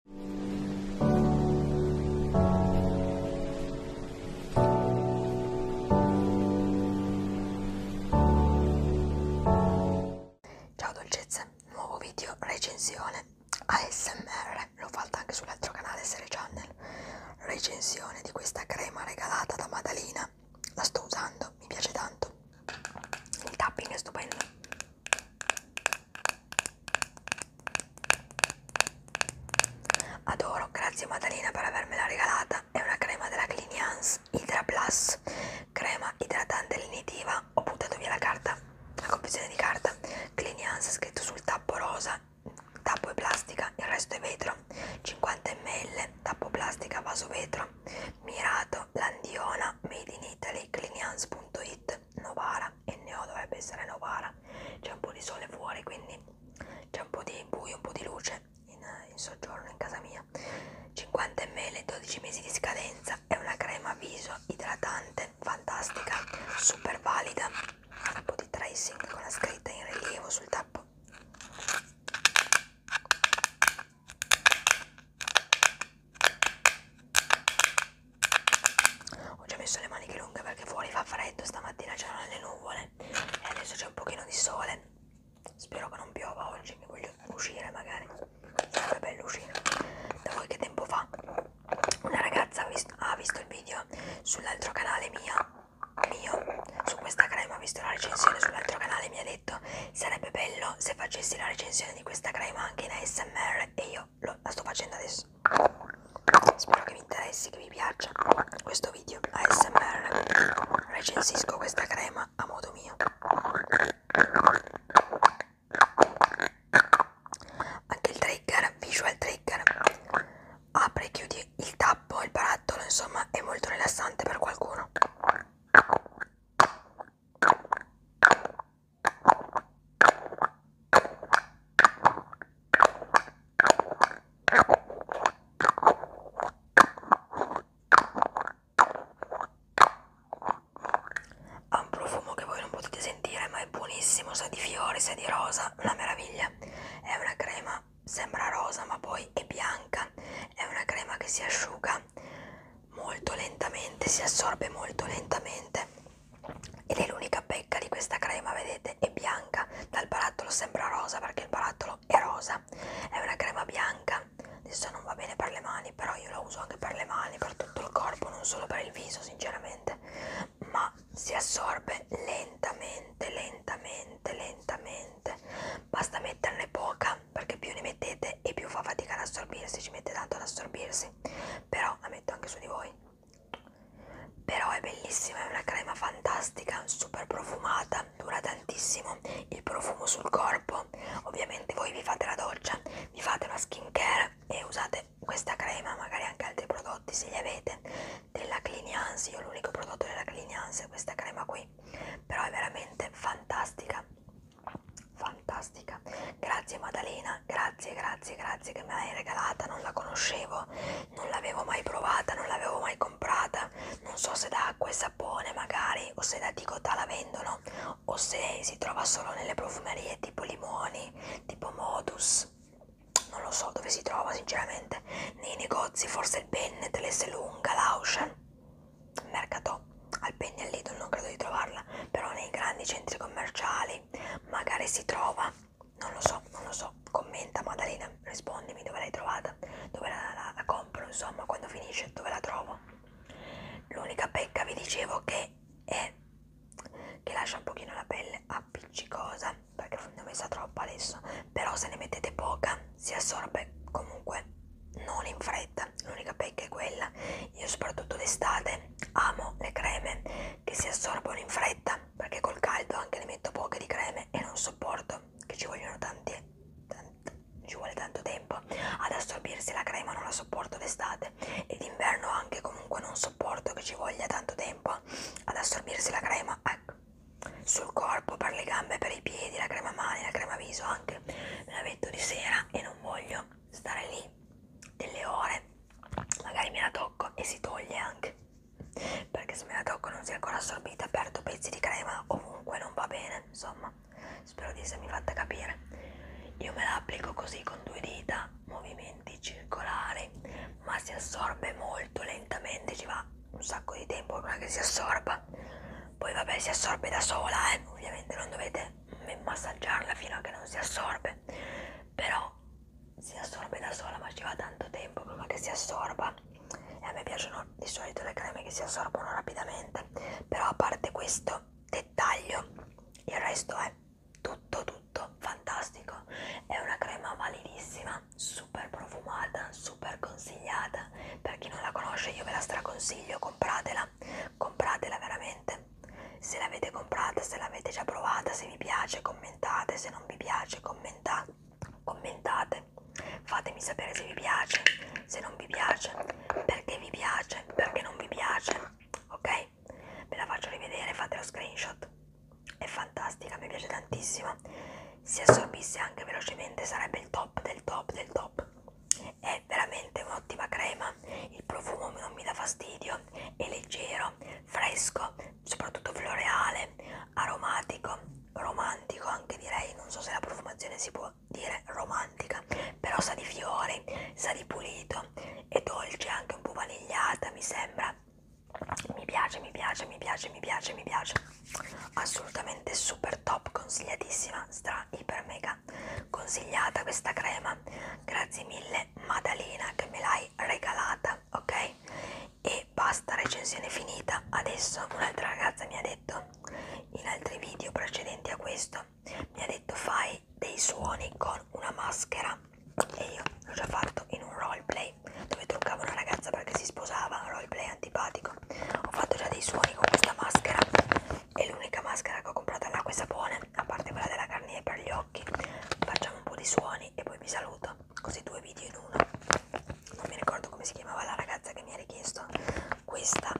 Ciao dolcezze, nuovo video recensione ASMR, l'ho fatta anche sull'altro canale Serie Channel, recensione di questa crema regalata da Madalina, la sto usando, mi piace tanto, il tapping è stupendo. Adoro, grazie Maddalena per avermela regalata. È una crema della Clinians Hydra Plus, crema idratante linitiva. Ho buttato via la carta, la confezione di carta. Clinians scritto sul tappo rosa, tappo è plastica, il resto è vetro. 50 ml, tappo plastica, vaso vetro. Mirato, Landiona, Made in Italy, Clinians.it, Novara e Neo dovrebbe essere Novara. C'è un po' di sole fuori, quindi c'è un po' di buio, un po' di luce in, in soggiorno in casa mia. 50 ml, 12 mesi di scadenza. È una crema viso idratante, fantastica, super valida. Un po' di tracing con la scritta in rilievo sul tappo. Ho già messo le maniche lunghe perché fuori fa freddo, stamattina c'erano le nuvole e adesso c'è un pochino di sole. Spero che non piova oggi, che voglio uscire magari. Sarebbe bello uscire. Da voi che tempo fa? Una ragazza ha visto, ha visto il video sull'altro canale mia, mio, su questa crema, ha visto la recensione sull'altro canale mi ha detto sarebbe bello bello se facessi la recensione di questa crema anche in ASMR e io lo, la sto facendo adesso spero che vi interessi, che vi piaccia questo video ASMR recensisco questa crema a modo mio anche il trigger, visual trigger apre e chiudi il tappo, il barattolo insomma è molto rilassante per qualcuno ha un profumo che voi non potete sentire, ma è buonissimo, sa di fiori, sa di rosa, una meraviglia. È una crema sembra rosa ma poi è bianca, è una crema che si asciuga molto lentamente, si assorbe molto lentamente ed è l'unica pecca di questa crema, vedete, è bianca, dal barattolo sembra rosa perché il barattolo è rosa, è una crema bianca, adesso non va bene per le mani, però io la uso anche per le mani, per tutto il corpo, non solo per il viso sinceramente, ma si assorbe lentamente, lentamente lentamente lentamente basta metterne poca perché più ne mettete e più fa fatica ad assorbirsi ci mette tanto ad assorbirsi però la metto anche su di voi però è bellissima è una crema fantastica super profumata dura tantissimo il profumo sul corpo ovviamente voi vi fate la doccia vi fate una skin care e usate questa crema magari anche altri prodotti se li avete della Clinians, io l'unico prodotto della Clinians è questa crema qui, però è veramente fantastica, fantastica. Grazie Maddalena, grazie, grazie, grazie che me l'hai regalata, non la conoscevo, non l'avevo mai provata, non l'avevo mai comprata, non so se da acqua e sapone magari o se da Ticotà la vendono o se si trova solo nelle profumerie tipo limoni, tipo modus non lo so dove si trova sinceramente nei negozi forse il Pennet, l'Esselunga, l'Auchan mercato al Penny e al Lidl non credo di trovarla però nei grandi centri commerciali magari si trova non lo so, non lo so commenta Maddalena, rispondimi dove l'hai trovata dove la, la, la compro insomma quando finisce dove la trovo l'unica pecca vi dicevo che è che lascia un pochino la pelle appiccicosa troppa perché ne ho messa troppa adesso però se ne mettete poca si assorbe comunque non in fretta l'unica pecca è quella io soprattutto d'estate amo le creme che si assorbono in fretta perché col caldo anche ne metto poche di creme e non sopporto che ci vogliono tanti ci vuole tanto tempo ad assorbirsi la crema non la sopporto d'estate e d'inverno anche comunque non sopporto che ci voglia tanto tempo tempo ad assorbirsi la crema ecco. sul corpo, per le gambe, per i piedi, la crema mani, la crema viso anche me la metto di sera e non voglio stare lì delle ore magari me la tocco e si toglie anche perché se me la tocco non si è ancora assorbita perdo pezzi di crema ovunque non va bene insomma spero di essermi fatta capire io me la applico così con due dita movimenti circolari ma si assorbe molto lentamente ci va un sacco di tempo prima che si assorba poi vabbè si assorbe da sola eh? ovviamente non dovete massaggiarla fino a che non si assorbe però si assorbe da sola ma ci va tanto tempo prima che si assorba e a me piacciono di solito le creme che si assorbono rapidamente però a parte questo dettaglio il resto è tutto tutto fantastico è una crema validissima super profumata super consigliata per chi non la conosce io ve la straconsiglio compratela compratela veramente se l'avete comprata se l'avete già provata se vi piace commentate se non vi piace commenta commentate fatemi sapere se vi piace se non vi piace perché vi piace perché non vi piace ok ok? Ve la faccio rivedere, fate lo screenshot. È fantastica, mi piace tantissimo. Se assorbisse anche velocemente sarebbe il top del top del top. È veramente un'ottima crema, il profumo non mi dà fastidio, è leggero, fresco, soprattutto floreale, aromatico, romantico anche direi, non so se la profumazione si può dire romantica, però sa di fiori, sa di pulito, è dolce, anche un po' vanigliata, mi sembra. Mi piace, mi piace, mi piace, mi piace, mi piace. Assolutamente super top, consigliatissima, stra, iper, mega consigliata questa crema. Grazie mille Madalina che me l'hai regalata, ok? E basta, recensione finita. Adesso un'altra ragazza mi ha detto in altri video precedenti a questo mi ha detto fai dei suoni con una maschera e io l'ho già fatto in un roleplay dove truccavo una ragazza perché si sposava, un roleplay antipatico ho fatto già dei suoni con questa maschera è l'unica maschera che ho comprato all'acqua e sapone a parte quella della Garnier per gli occhi facciamo un po' di suoni e poi vi saluto così due video in uno non mi ricordo come si chiamava la ragazza che mi ha richiesto questa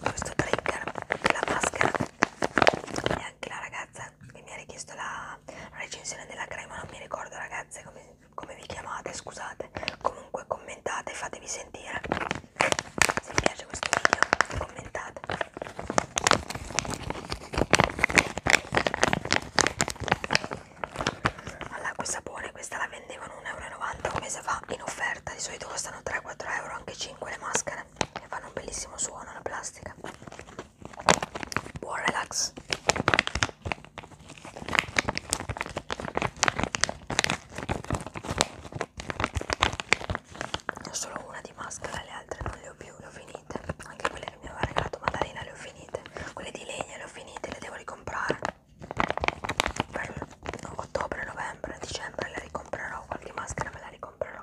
questo trigger della maschera e anche la ragazza che mi ha richiesto la recensione della crema non mi ricordo ragazze come, come vi chiamate scusate comunque commentate fatevi sentire se vi piace questo video commentate all'acqua e sapone questa la vendevano 1,90 euro un mese fa in offerta, di solito costano 3-4 euro, anche 5 le maschere e fanno un bellissimo suono la plastica. Buon relax! Ho solo una di maschera, le altre non le ho più, le ho finite, anche quelle che mi aveva regalato Maddalena le ho finite, quelle di legna le ho finite, le devo ricomprare per ottobre, novembre, dicembre la ricomprerò, qualche maschera me la ricomprerò